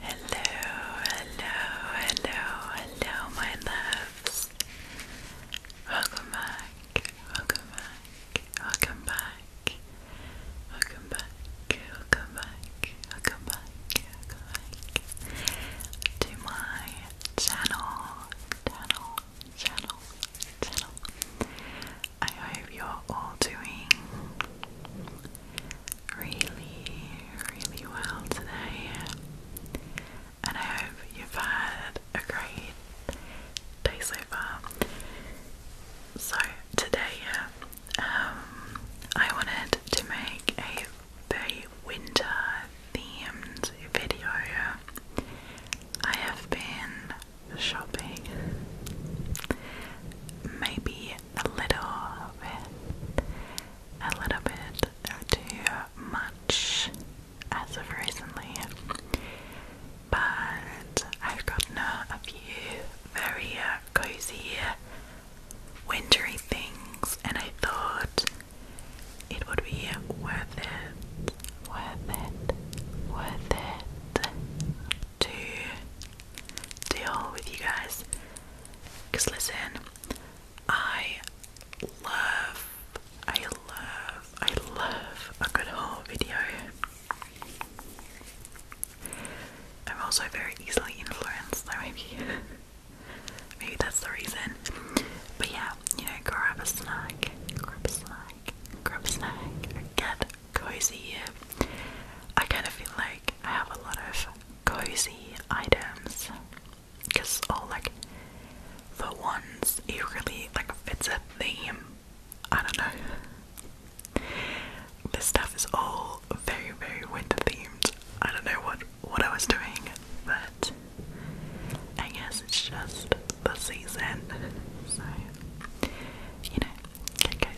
Hello, hello, hello, hello, my loves. Welcome back, welcome back, welcome back, welcome back, welcome back, welcome back, welcome back to my channel, channel, channel, channel. I hope you're all doing really, really well today, and I hope you've had a great day so far. So, today, um, I wanted to make a very winter themed video. I have been shopping. Maybe a little bit, a little bit too much as of recently, but I've gotten a, few very uh, cozy wintry things, and I thought it would be worth it, worth it, worth it to deal with you guys because listen, I love, I love, I love a good haul video. I'm also very easily influenced, so maybe, maybe that's the reason. But yeah, you know, grab a snack, grab a snack, grab a snack, get cozy. I kind of feel like I have a lot of cozy items because all oh, like the ones it really like fits a theme. I don't know. This stuff is all very very winter themed. I don't know what what I was doing, but I guess it's just the season. So you know, get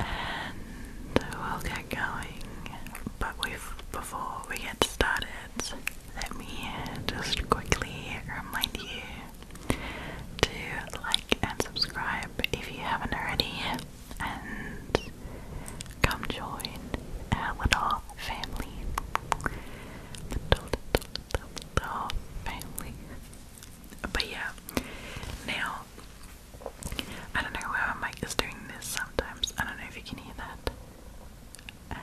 I And we'll get going. But we've, before we get started, let me just quickly remind you to like and subscribe if you haven't already, and come join our little family. Little, family. But yeah, now I don't know why my mic is doing this sometimes. I don't know if you can hear that.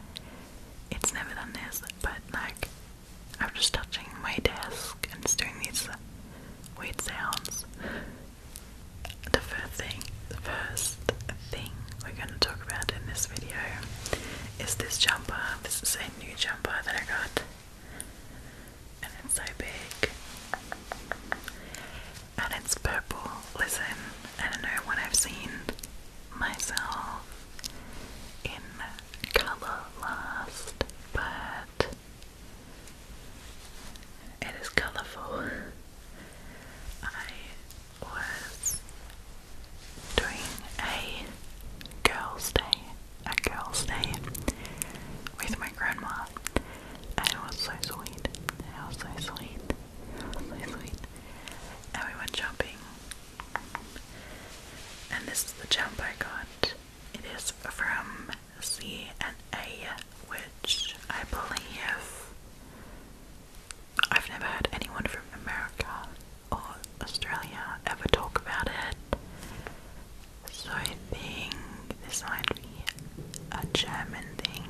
It's never done this, but like I'm just touching my desk and it's doing these weird sounds. The first thing, the first thing we're going to talk about in this video is this jumper. This is a new jumper that I got and it's so big and it's purple. Listen, I don't know when I've seen myself in colour last, but it is colourful. I was doing a girls' day a girl's day with my grandma. And it was so sweet. It was so sweet. It was so sweet. And we went shopping. And this is the jump I got. It is from C and A, which I believe I've never heard anyone from America or Australia ever talk about it. So I think this might be a German thing.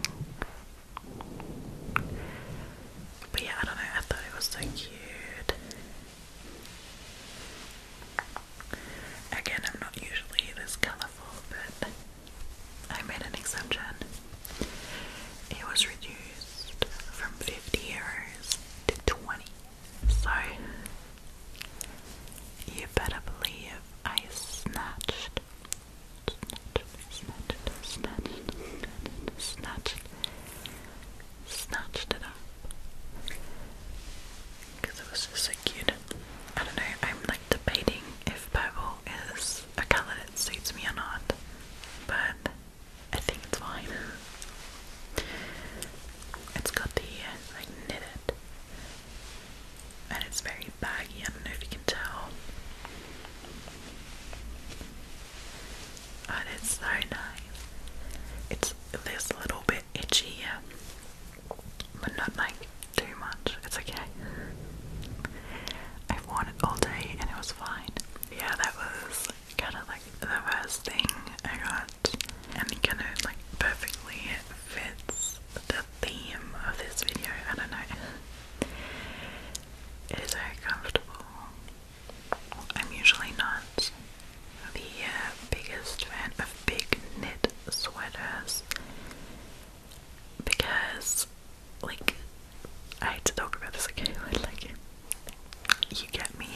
But yeah, I don't know, I thought it was so cute. Again, I'm not usually this colourful, but I made an exception. It was reduced from 50 euros to 20. So, you better believe I snatched, snatched, snatched, snatched, snatched, snatched it up. Because it was just so cute. I don't know, I'm like debating if purple is a colour that suits me or not, but I think it's fine. It's got the like knitted, and it's very baggy. I don't know if you can tell, but it's so nice. It's this little bit itchy here, but not like too much. It's okay. I've worn it all day and it was fine. Yeah, that was kind of like the first thing I got and it kind of like perfectly fits the theme of this video. I don't know. It is very comfortable. I'm usually not the uh, biggest fan of big knit sweaters because, like, I hate to talk about this Okay, again, like, you get me.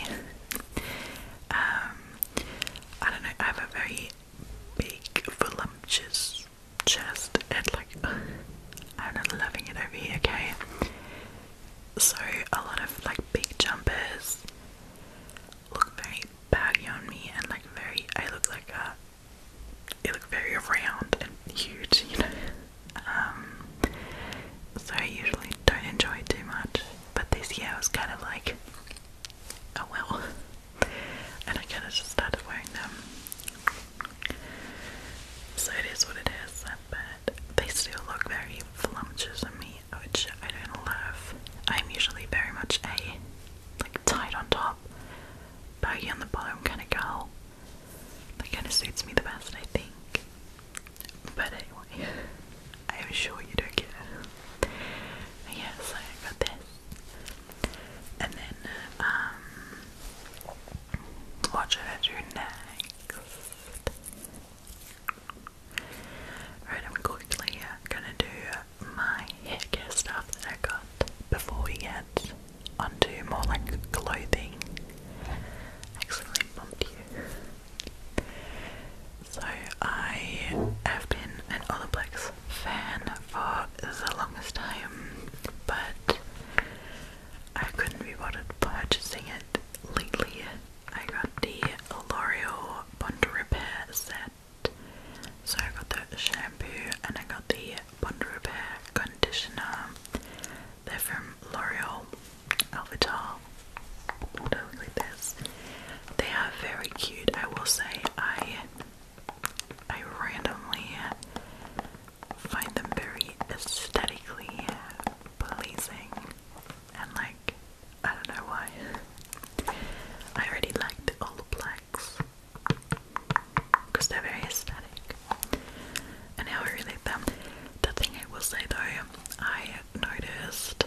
um, I don't know, I have a very big, voluptuous chest and like, I'm loving it over here, okay? So a lot of like big jumpers look very baggy on me and like very, I look like a, it look very round and huge, you know? Um, so I usually don't enjoy it too much. But this year was kind of like, oh well. And I kind of just started wearing them. So it is what it is, but they still look very voluptuous on me, which I don't love. I'm usually very much a like tight on top, baggy on the bottom kind of girl. That kind of suits me the best, I think. But anyway, I'm sure you don't get it. I got this. And then, um, what should I do next? Right, I'm uh, gonna do my hair care stuff that I got before we get onto more like clothing. I bumped you. So I have been an Olaplex fan for the longest time, but I couldn't be bothered purchasing it lately. I got the L'Oreal Bond Repair set. So I got the shampoo and I got the Bond Repair conditioner. They're from L'Oreal. Avatar, something like this. They are very cute. I will say I I randomly find them very aesthetically pleasing and like I don't know why. I already like the old blacks because they're very aesthetic and I really like them. The thing I will say though, I noticed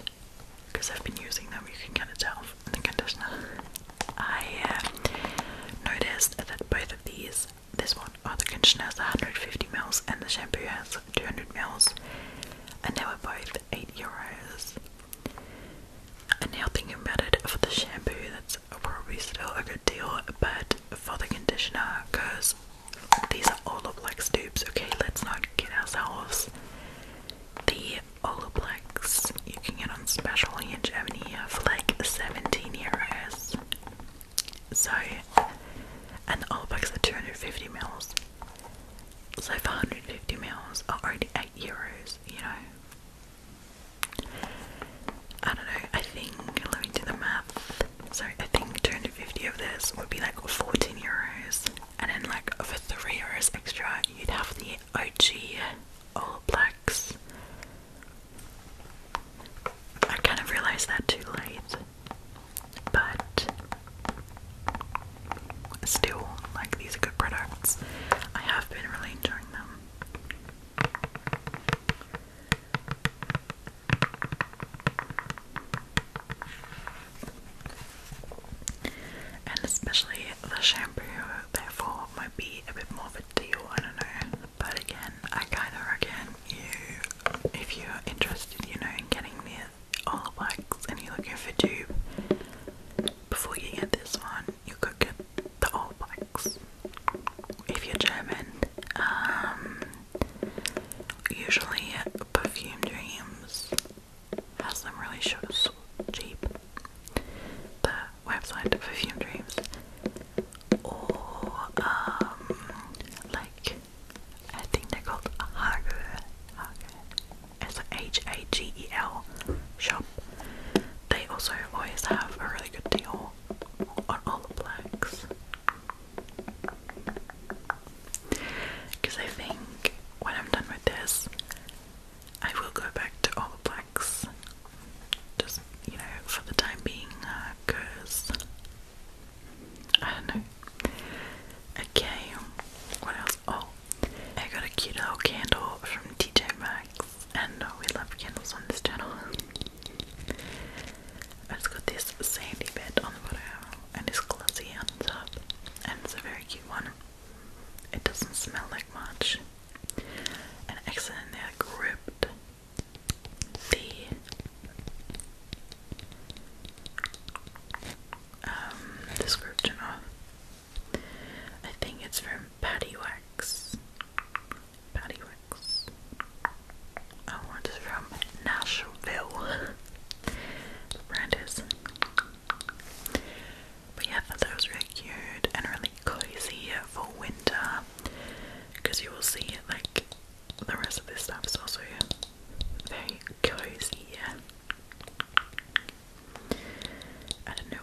because I've been using them, you can kind of tell the conditioner. I uh, noticed that both of these, this one, or the conditioner has 150ml and the shampoo has 200ml, and they were both 8 euros. And now thinking about it, for the shampoo, that's probably still a good deal, but for the conditioner, because these are all of like stoops, okay, let's not get ourselves. The Olaplex you can get on special in Germany for like 17 euros. So, and the Olaplex are 250 mils. So, 450 mils are only 8 euros, you know. I don't know, I think, let me do the math. So, I think 250 of this would be like 14 euros and then like for three euros extra you'd have the OG All Blacks. I kind of realised that too late, but still, like these good products. I have been really enjoying them. And especially the shampoo, therefore, might be a bit more of a deal, I don't know. But again, I kind of reckon you, if you're interested, you know, in getting the olive wax and you're looking for tube, before you get this one, you could get the olive wax. If you're German, um, usually perfume dreams has them really short, cheap. The website of Perfume Dreams, or um, like I think they're called Hagel. It's a H A G E L shop. They also always have a really good deal on all the blacks. Because I think when I'm done with this, I will go back to all blacks. Just, you know, for the time being, because uh, I don't know. Okay, what else? Oh, I got a cute little candle from TJ Maxx, and we love candles on this channel. I just got this sandy bed on the bottom and his glossy hands up, and it's a very cute one. It doesn't smell like much. And accidentally I the um, description of. I think it's from Patty Wax. Patty Wax. I oh, want from Nashville. brand is but yeah, I that was really cute and really cozy for winter because you will see like the rest of this stuff is also very cozy. I do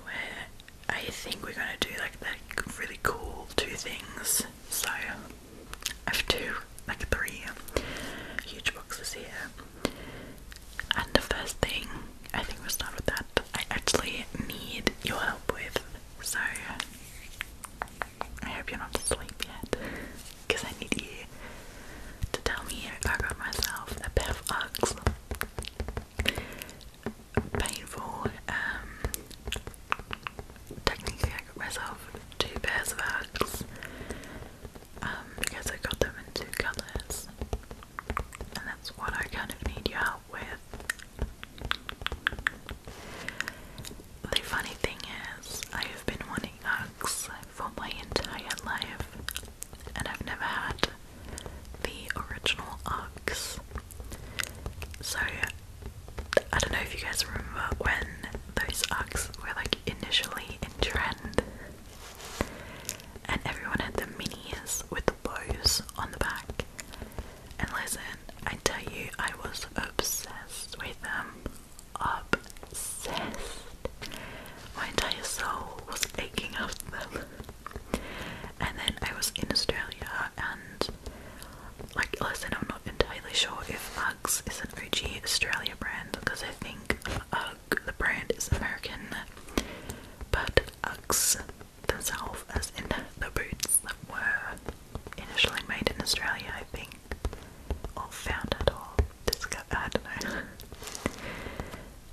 I think we're gonna do like that really cool two things. So I have two, like three huge boxes here. And the first thing, I think we start with that, I actually need your help with. So, I hope you're not asleep yet, because I need you to tell me if myself a pair of Uggs. Painful, um, technically I got myself two pairs of Uggs because um, I got them in two colours, and that's what I kind of need your help with. The funny thing is, I have been wanting Uggs for my entire life, and I've never had the original Uggs. So, I don't know if you guys remember when those Uggs were like initially in trend. And everyone had the minis with the bows on the back. And listen, I tell you, I was obsessed with them. Obsessed. My entire soul was aching after them. And then I was in Australia and like listen, I'm not entirely sure if our uh, Lux is an OG Australia brand because I think the brand, is American, but UGGs themselves, as in the boots were initially made in Australia, I think, or founded or discovered,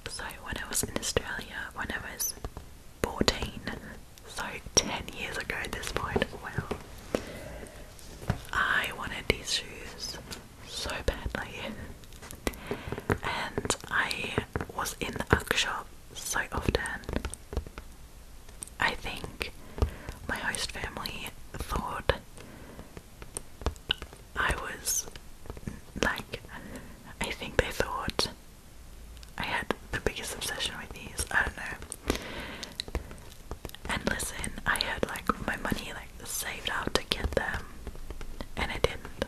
so when I was in Australia, when I was 14, so 10 years ago this point, well, I wanted these shoes so badly. And I was in the UGG shop so often. I think my host family thought I was like, I think they thought I had the biggest obsession with these. I don't know. And listen, I had like my money like saved up to get them, and I didn't.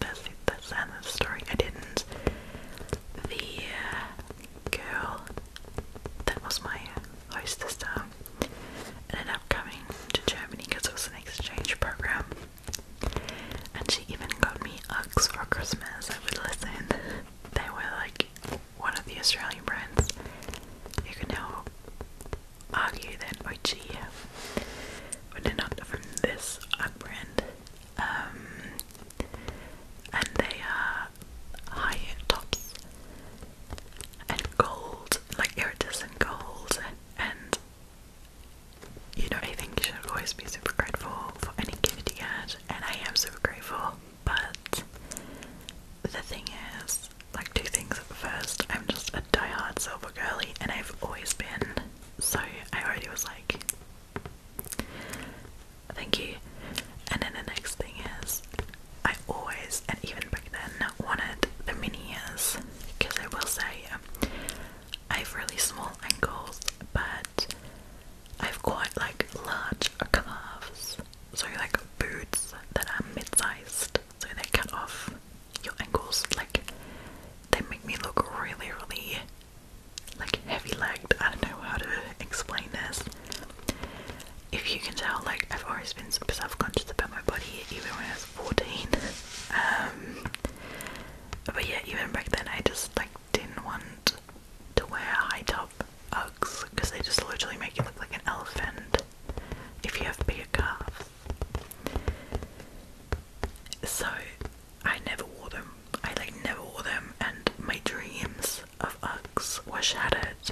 That's that's the end of the story. I didn't. The uh, girl that was my hostess down ended up coming to Germany because it was an exchange program, and she even got me Uggs for Christmas. I would listen. They were like one of the Australian brands. You can now value then by Chia running up from this upper um, and they are high tops and gold like iridescent gold and, you know I think you should always be super grateful for any gift you get and I am super grateful but the thing is, like two things. First, I'm just a die-hard silver girly, and I've always been. So I already was like, thank you. And then the next thing is, I always, and even back then, wanted the mini ears because I will say um, I have really small ankles, but I've quite like large calves. So like boots that are mid-sized so they cut off your ankles. Like, they make me look really, really like heavy legged. I don't know how to explain this. If you can tell, like, I've always been super self conscious about my body, even when I was 14. Um, but yeah, even back then, I just like didn't want to wear high top Uggs because they just literally make you look like an elephant if you have bigger calves. So I never wore them. I like never wore them, and my dreams of Uggs were shattered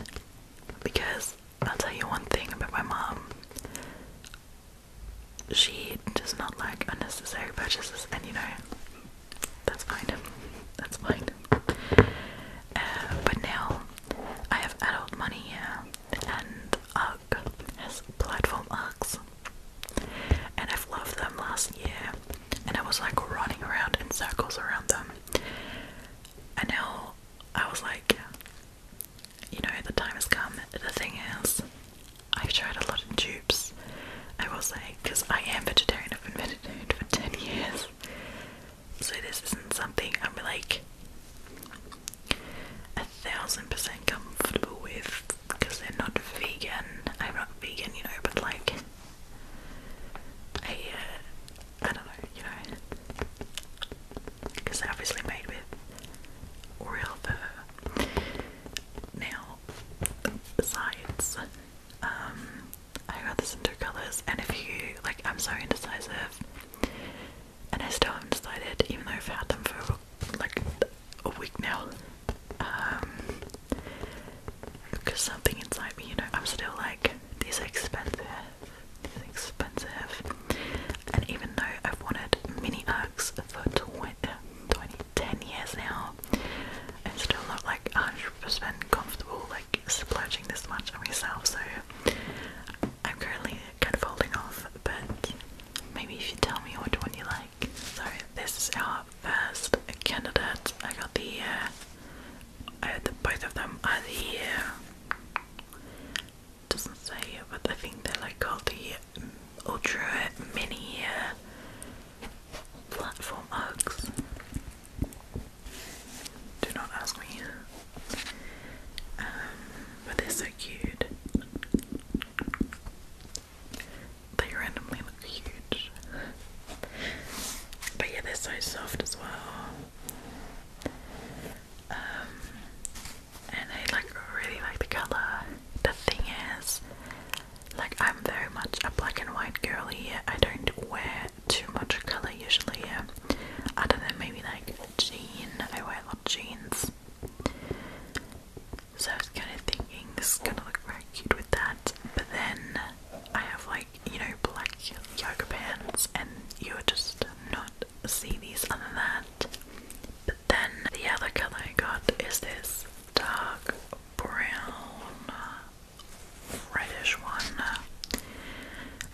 because I'll tell you one thing about my mom. She does not like unnecessary purchases, and you know that's fine. That's fine. Uh, but now I have adult money here, and UGG has platform UGGs, and I've loved them last year, and I was like running around in circles around them, and now I was like, you know, the time has come. The thing is, I've tried a lot of dupes. I will say, because I am vegetarian, I've been vegetarian for 10 years. So this isn't something I'm like a thousand percent comfortable with because they're not vegan. I'm not vegan, you know, but like I, uh, don't know, you know, because they're obviously made with real fur. Now, besides, um, I got this in colors, and if you like, I'm so indecisive and I still haven't decided, even though I've had them for like a week now. because um, something inside me, you know, I'm still like, these expensive, these expensive. And even though I've wanted mini Uggs for 20, years now, I'm still not like 100% comfortable, like splurging this much on myself, so I'm currently kind of holding off. But maybe if you tell me what one you like. So this is our first candidate. I got the, uh, uh, the both of them are the. Uh, doesn't say, but I think they're like called the um, ultra mini. Uh, platform hugs do not ask me. Um, but they're so cute. They randomly look huge. But yeah, they're so soft as well. Um, and I like really like the colour. The thing is, like I'm very much a black and white girly. I don't wear too much colour usually, yeah. I don't know, maybe like a jean. I wear a lot of jeans. So I was kind of thinking this is gonna look very cute with that. But then I have like, you know, black yoga pants and you would just not see these other than that. But then the other colour I got is this dark brown reddish one.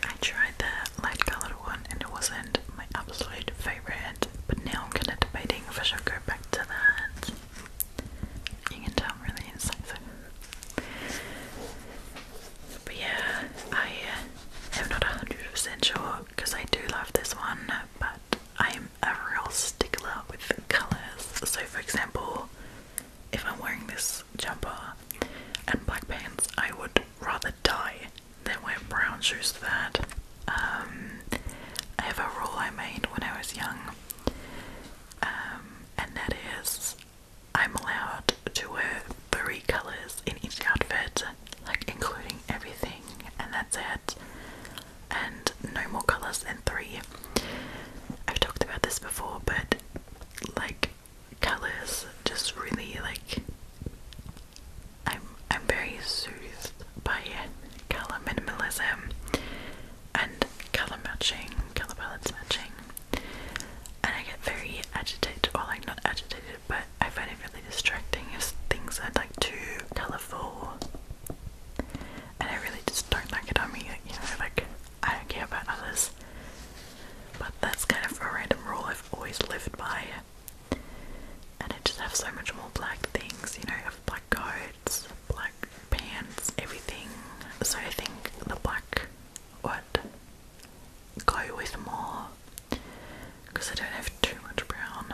I tried the light colored one and it wasn't my absolute favorite, but now I'm kinda debating if I should go back to that. You can tell I'm really incisive. But yeah, I uh, am not 100% sure because I do love this one, but I'm a real stickler with the colours. So, for example, if I'm wearing this jumper and black pants, I would rather die than wear brown shoes for that. Um, I have a rule I made when I was young, um, and that is I'm allowed to wear three colours in each outfit, like including everything, and that's it. And no more colours than three. I've talked about this before, but like colors just really like I'm I'm very soothed by color minimalism and color matching, color balance matching, and I get very agitated, or like not agitated, but I find it really distracting if things are like too colorful, and I really just don't like it on me. You know, like I don't care about others. But that's kind of a random rule I've always lived by. And I just have so much more black things, you know, I black coats, black pants, everything. So I think the black would go with more because I don't have too much brown.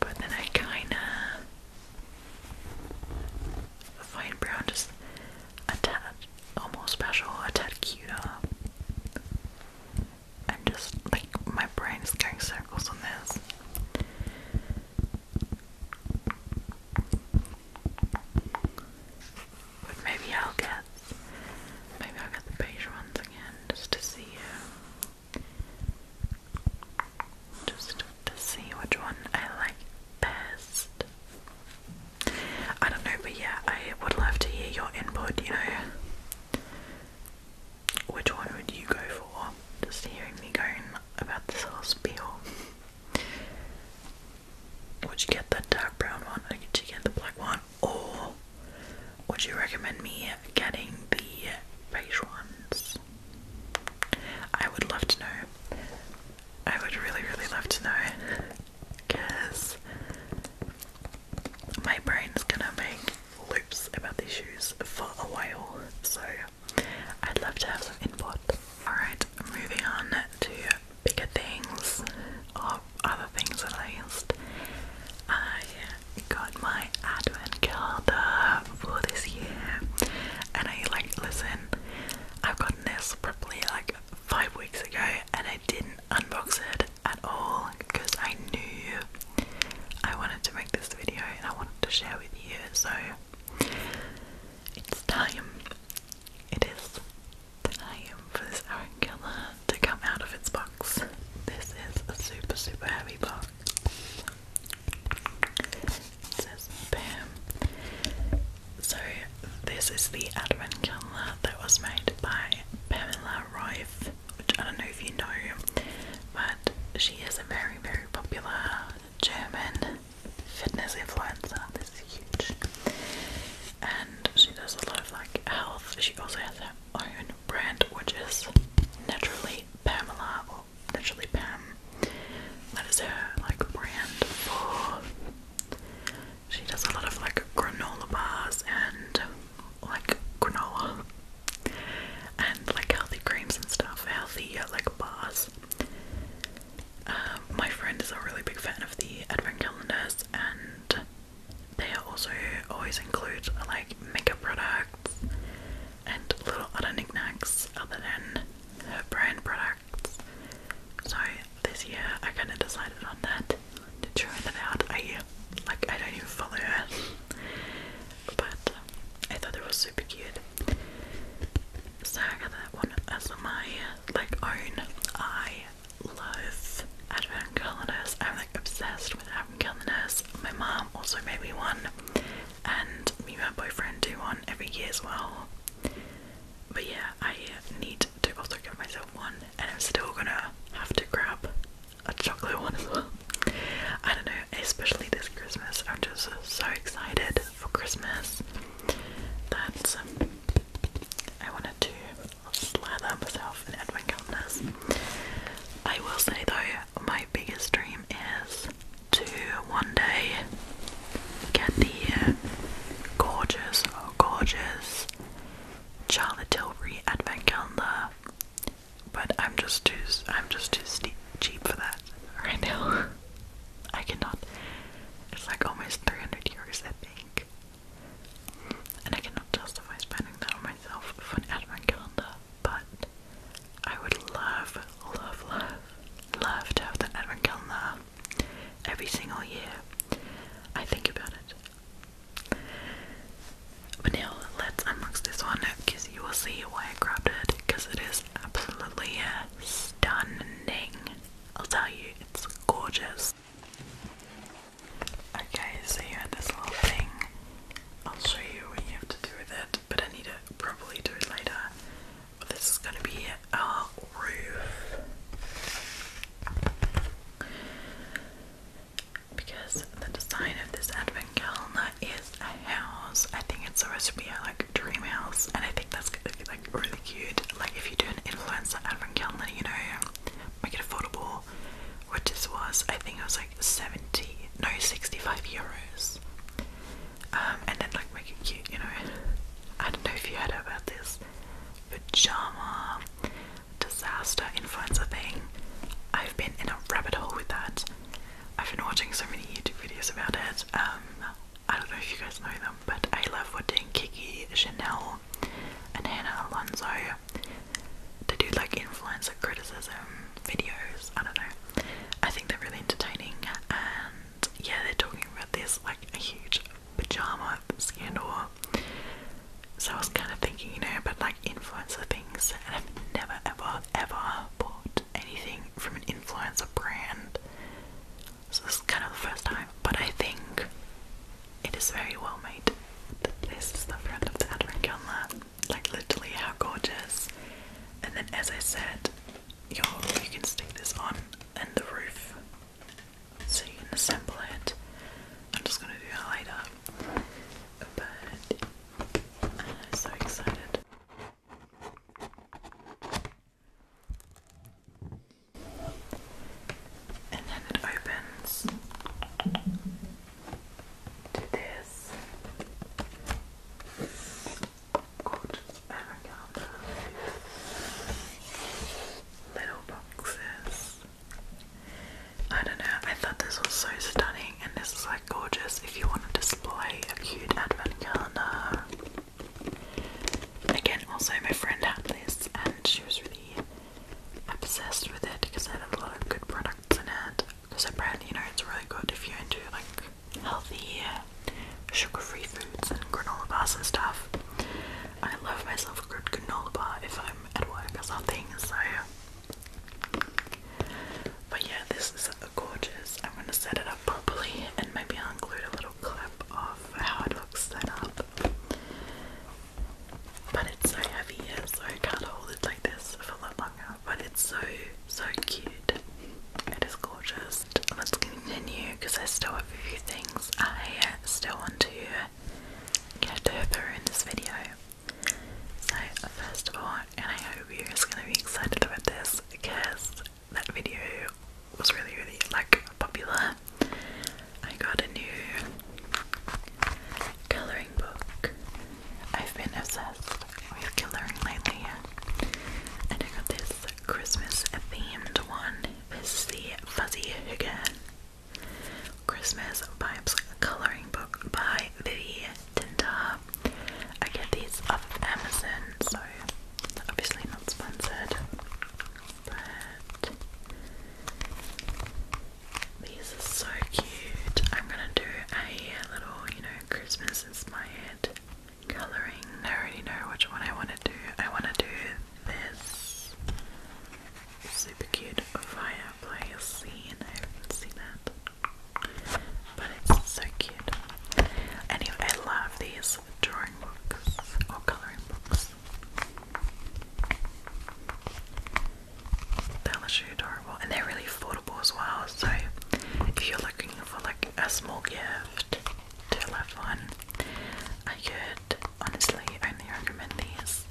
But then I kinda find brown just a almost special, a tad cute I'm just like my brain is going circles on this. But maybe I'll get maybe I'll get the beige ones again just to see Just to see which one I like best. I don't know, but yeah, I would love to hear your input, you know. Which one would you go for? Just hearing me going about this whole spiel. Would you get the dark brown one would you get the black one? Or would you recommend me getting the beige ones? I would love to know. I would really, really love to know because my is gonna make loops about these shoes for a while, so I'd love to have some input. Alright, moving on to bigger things or other things at least. I got my advent calendar for this year and I like listen, I've got this probably like five weeks ago and I didn't unbox it at all because I knew I wanted to make this video and I wanted to share with you. So it's time. It is time for this Aaron Killer to come out of its box. This is a super, super heavy box. says BAM so, this is the advent calendar that was made by Pamela Rife, which I don't know if you know, but she is a very, very popular German fitness influencer. This is huge. And she does a lot of like health. She also has her own brand, which is Naturally Pamela or Naturally Pam. That is her like brand for she does a lot of like granola bars and like granola and like healthy creams and stuff, healthy uh, like bars. Um, my friend is a really big fan of the advent calendars, and they are also always include like makeup products and little other knickknacks other than her brand products. So this year I kind of decided on that to try that out. I like I don't even follow her, but I thought it was super cute. So I got that one as my like own. I love advent calendars. I'm like obsessed with advent calendars. My mom also made me one, and me and my boyfriend do one every year as well. But yeah, I need to also give myself one, and I'm still gonna have to grab a chocolate one as well. I don't know, especially this Christmas. I'm just so excited for Christmas that um, I wanted to slather myself in advent calendars. I will say though, my biggest dream is to one day Get the uh, Gorgeous, gorgeous. Charlotte Tilbury advent calendar. But I'm just too I'm just too cheap for that right now. I cannot. It's like almost 300 euros, I think. And I cannot justify spending that on myself for an advent calendar. But I would love, love, love, love to have that advent calendar every single year. I think about it. But now let's unbox this one because you will see why I grabbed it because it is absolutely uh, stunning. I'll tell you, it's gorgeous. Okay, so you had this little thing. I'll show you what you have to do with it, but I need to probably do it later this is going to be our roof because the design of this advent calendar is a house. I think it's supposed to be like a dream house, and I think that's gonna be like really cute. Like if you do an influencer advent calendar, you know, make it affordable. which this was, I think it was like seventy, no, sixty-five euros. Um, and then like make it cute, you know. I don't know if you heard about this, pajama disaster influencer thing. I've been in a rabbit hole with that. I've been watching so many YouTube videos about it. Um, I don't know if you guys know them, but I love watching Kiki Chanel and Hannah Alonso. They do like influencer criticism videos. I don't know. I think they're really entertaining, and yeah, they're talking about this like a huge pajama scandal. So I was kind of thinking, you know, but like influencer things, and I've never ever ever bought anything from an influencer brand. So this is kind of the first time, but I think it is very well made. This is the front of the advent calendar, like literally how gorgeous. And then, as I said, you you can stick this on, in the roof so you can assemble it. I'm just gonna do it later. But I'm so excited. And then it opens to this. Good. And I little boxes. I don't know, I thought this was so stunning and this is like gorgeous if you want to display a cute advent calendar. Again, also my friend had this and she was really obsessed with it because it had a lot of good products in it. Because the you know, it's really good if you're into like healthy sugar-free foods and granola bars and stuff. I love myself a good granola bar if I'm at work or something, so but yeah, this is gorgeous. I'm gonna set it up properly and maybe I'll include a little clip of how it looks set up. But it's so heavy, yeah, so I can't hold it like this for a lot But it's so so cute. It is gorgeous let's continue because I still have a few things I uh, still want to get through in this video. So first of all, and I hope you're just gonna be excited about this because that video was really really like popular. I got a new colouring book. I've been obsessed with colouring lately and I got this Christmas themed one Fizzy Fuzzy Higgin. Christmas Vibes Coloring Book by Vivi Tinta. I get these off Amazon, so obviously not sponsored. But these are so cute. I'm gonna do a little, you know, Christmas inspired colouring. I already know which one I want to do. I want to do this super cute fireplace scene. I haven't seen that, but it's so cute. Anyway, I love these drawing books or colouring books. They're literally adorable and they're really affordable as well. So, if you're looking for like a small gift, to love one. I could honestly only recommend these.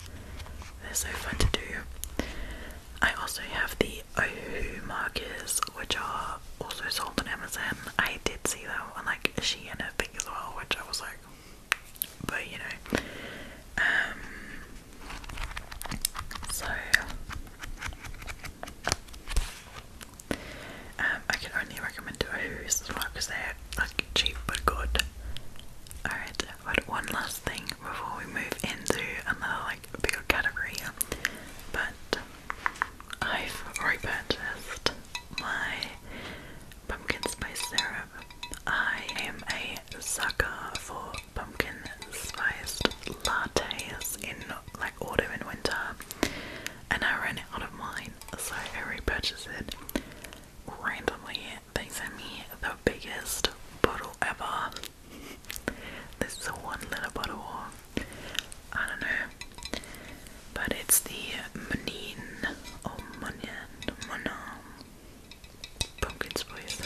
They're so fun to do. I also have the Ohu markers, which are also sold on Amazon. I did see that one, like She and Shein thing as well, which I was like, but you know. Um, so um, I can only recommend it Who's as well because they're like cheap but good. Alright, but one last thing before we move into another like bigger category. But I've repurchased my pumpkin spice syrup. I am a sucker for pumpkin spiced lattes in like autumn and winter and I ran out of mine, so I repurchased it. Randomly, they sent me the biggest bottle ever. this is a one liter bottle, I don't know, but it's the Munin or Munin, Munam pumpkin spice.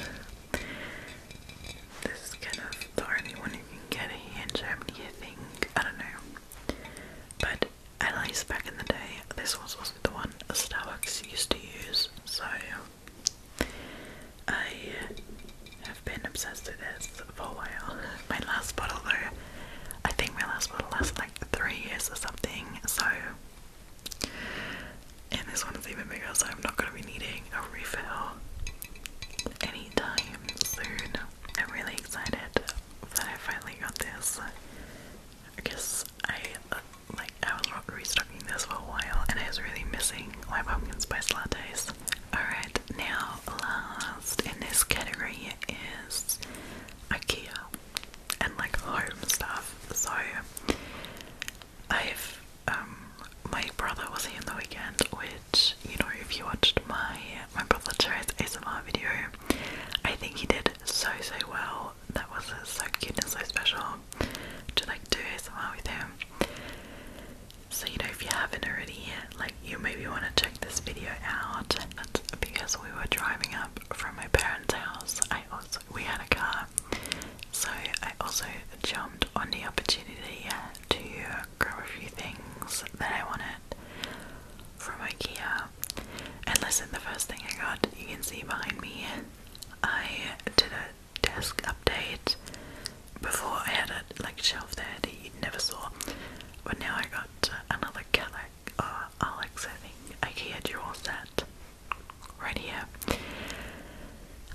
This kind of the only one can get here in Germany, I think. I don't know. But at least back in the day, this was also the one Starbucks used to use, so I have been obsessed with this for a while. My last bottle, though, I think my last bottle lasted like three years or something, so. And this one is even bigger, so I'm not going to be needing a refill anytime soon. I'm really excited that I finally got this. I guess I uh, like I was restocking this for a while, and I was really missing my pumpkin spice lattes. All right, now last in this category is IKEA and like home stuff. So I've um, my brother was here on the weekend, which you know if you watched my my brother chose ASMR video. I think he did so so well. That was so cute and so special to like do ASMR with him. So you know if you haven't already, like you maybe want to check this video out. because we were driving up from my parents' house. I also we had a car, so I also jumped on the opportunity to grab a few things that I wanted from IKEA. And listen, the first thing I got, you can see behind me, I did a desk update. Before I had a like shelf there that you never saw, but now I got another Calac or uh, Alex, I IKEA dual set right here.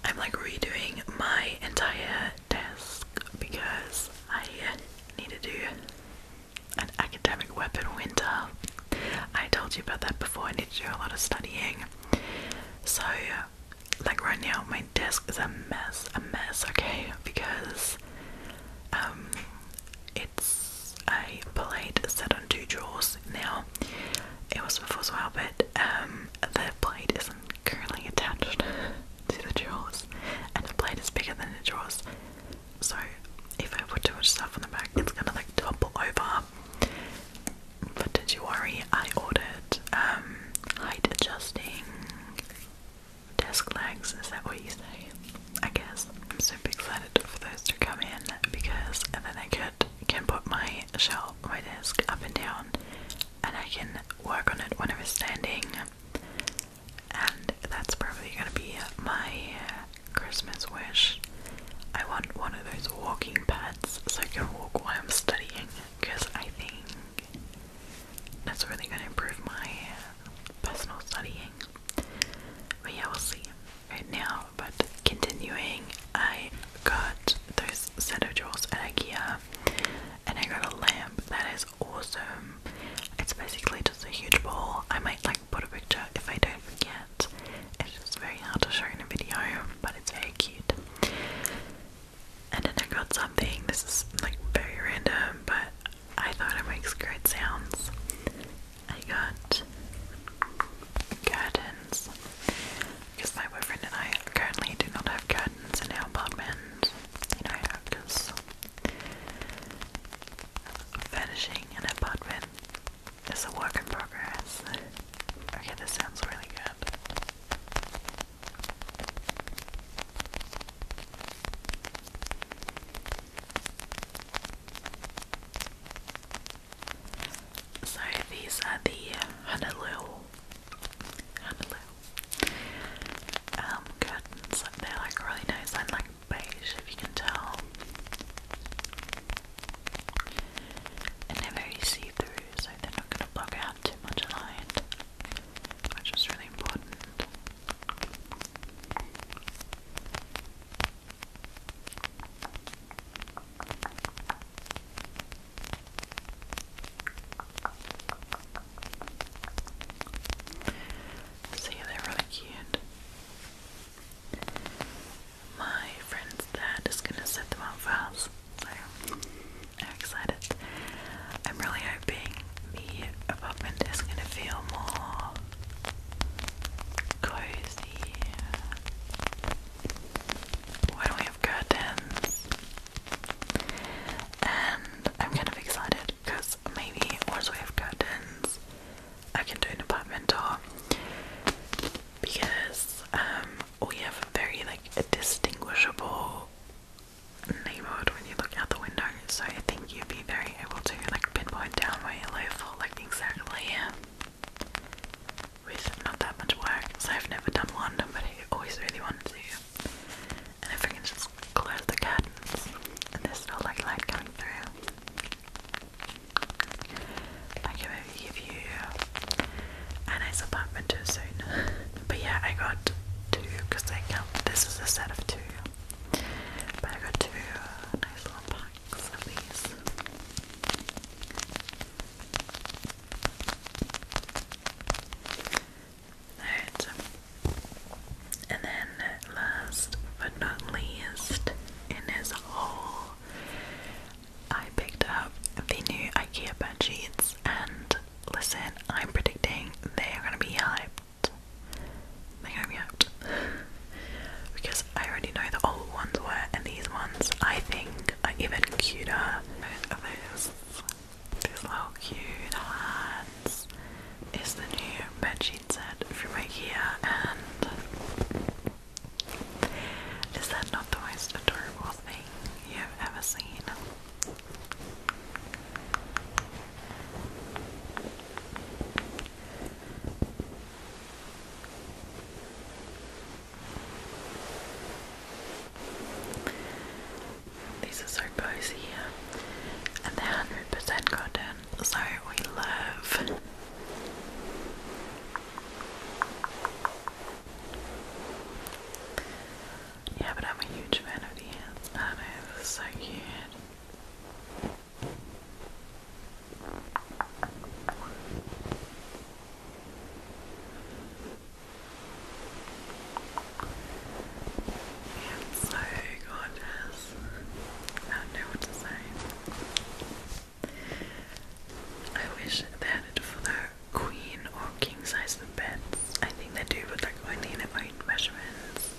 I'm like redoing my entire desk because I need to do an academic weapon winter. I told you about that before, I need to do a lot of studying. So, like right now, my desk is a mess, a mess, okay? Because um, it's a plate set on two drawers now. It was before as well, but um, the plate isn't currently attached. to the drawers, and the plate is bigger than the drawers. So if I put too much stuff on the back, it's gonna like topple over. But did you worry? I ordered um, height adjusting desk legs. Is that what you say? I guess I'm super excited for those to come in because then I could can put my shelf, my desk up and down, and I can work on it whenever I am standing and that's probably gonna be my Christmas wish. I want one of those walking pads so I can walk while I'm studying because I think that's really gonna improve my personal studying. But yeah, we'll see right now. But continuing, I got those set of drawers at IKEA and I got a lamp that is awesome. It's basically just a huge ball. I might like put a picture if I don't forget. It's just very hard to show in a video, but it's very cute. And then I got something. This is like very random, but I thought it makes great sounds. I got curtains because my boyfriend and I currently do not have curtains in our apartment. You know, because Furnishing an apartment is a work in progress. Okay, this sounds really good. So these are the Honolulu um, curtains. Like they're like really nice and like beige, if you can tell. And they're very see-through, so they're not going to block out too much of light, which is really important. So they're really cute. My friend's dad is gonna set them up for us. So I'm excited. I'm really hoping the apartment is gonna feel more cozy. Why we have curtains? And I'm kind of excited because maybe once we have curtains, I can do an apartment tour because um, we have a very like distinguishable neighborhood when you look out the window. So I think you'd be very able to like pinpoint down where you live for like exactly yeah, with not that much work. So I've never done one, but I always really wanted to and if we can just close the curtains and there's no like light coming through I can maybe give you a nice apartment too soon but yeah I got two because they count this is a set of two but I got two uh, nice little packs of these Alright. And then last but not least, in his haul, I picked up the new IKEA bed sheets and listen, I'm predicting they're gonna be hyped. They're hyped. because I already know the old ones were and these ones I think are even cuter. Those these little cute hands is the new bedsheet set from IKEA and is that not the most adorable thing you have ever seen? These are so cozy And they're 100% cotton, so we love. Yeah, but I'm a huge fan of these. I do so cute so gorgeous. I don't know what to say. I wish they had it for the queen or king size beds. I think they do, but like only in their own measurements.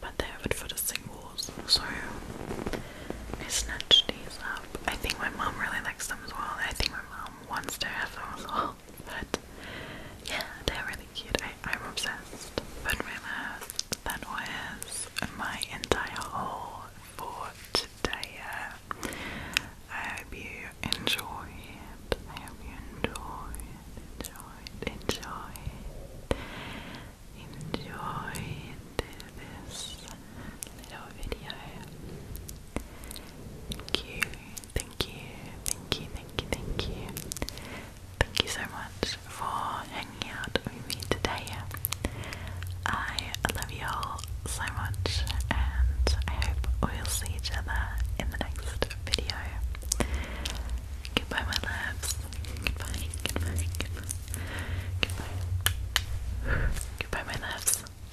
But they have it for the singles, so I snatched these up. I think my mum really likes them as well. I think my mum once they're a But yeah, they're really cute. I, am obsessed. But realized that was my entire haul for today. I hope you enjoyed. I hope you enjoyed, enjoyed, enjoyed, enjoyed this little video. Thank you, thank you, thank you, thank you, thank you. Thank you so much for hanging out with me today. I love you all so much, and I hope we'll see each other in the next video. Goodbye, my loves. Goodbye, goodbye, goodbye. Goodbye. Goodbye, my loves.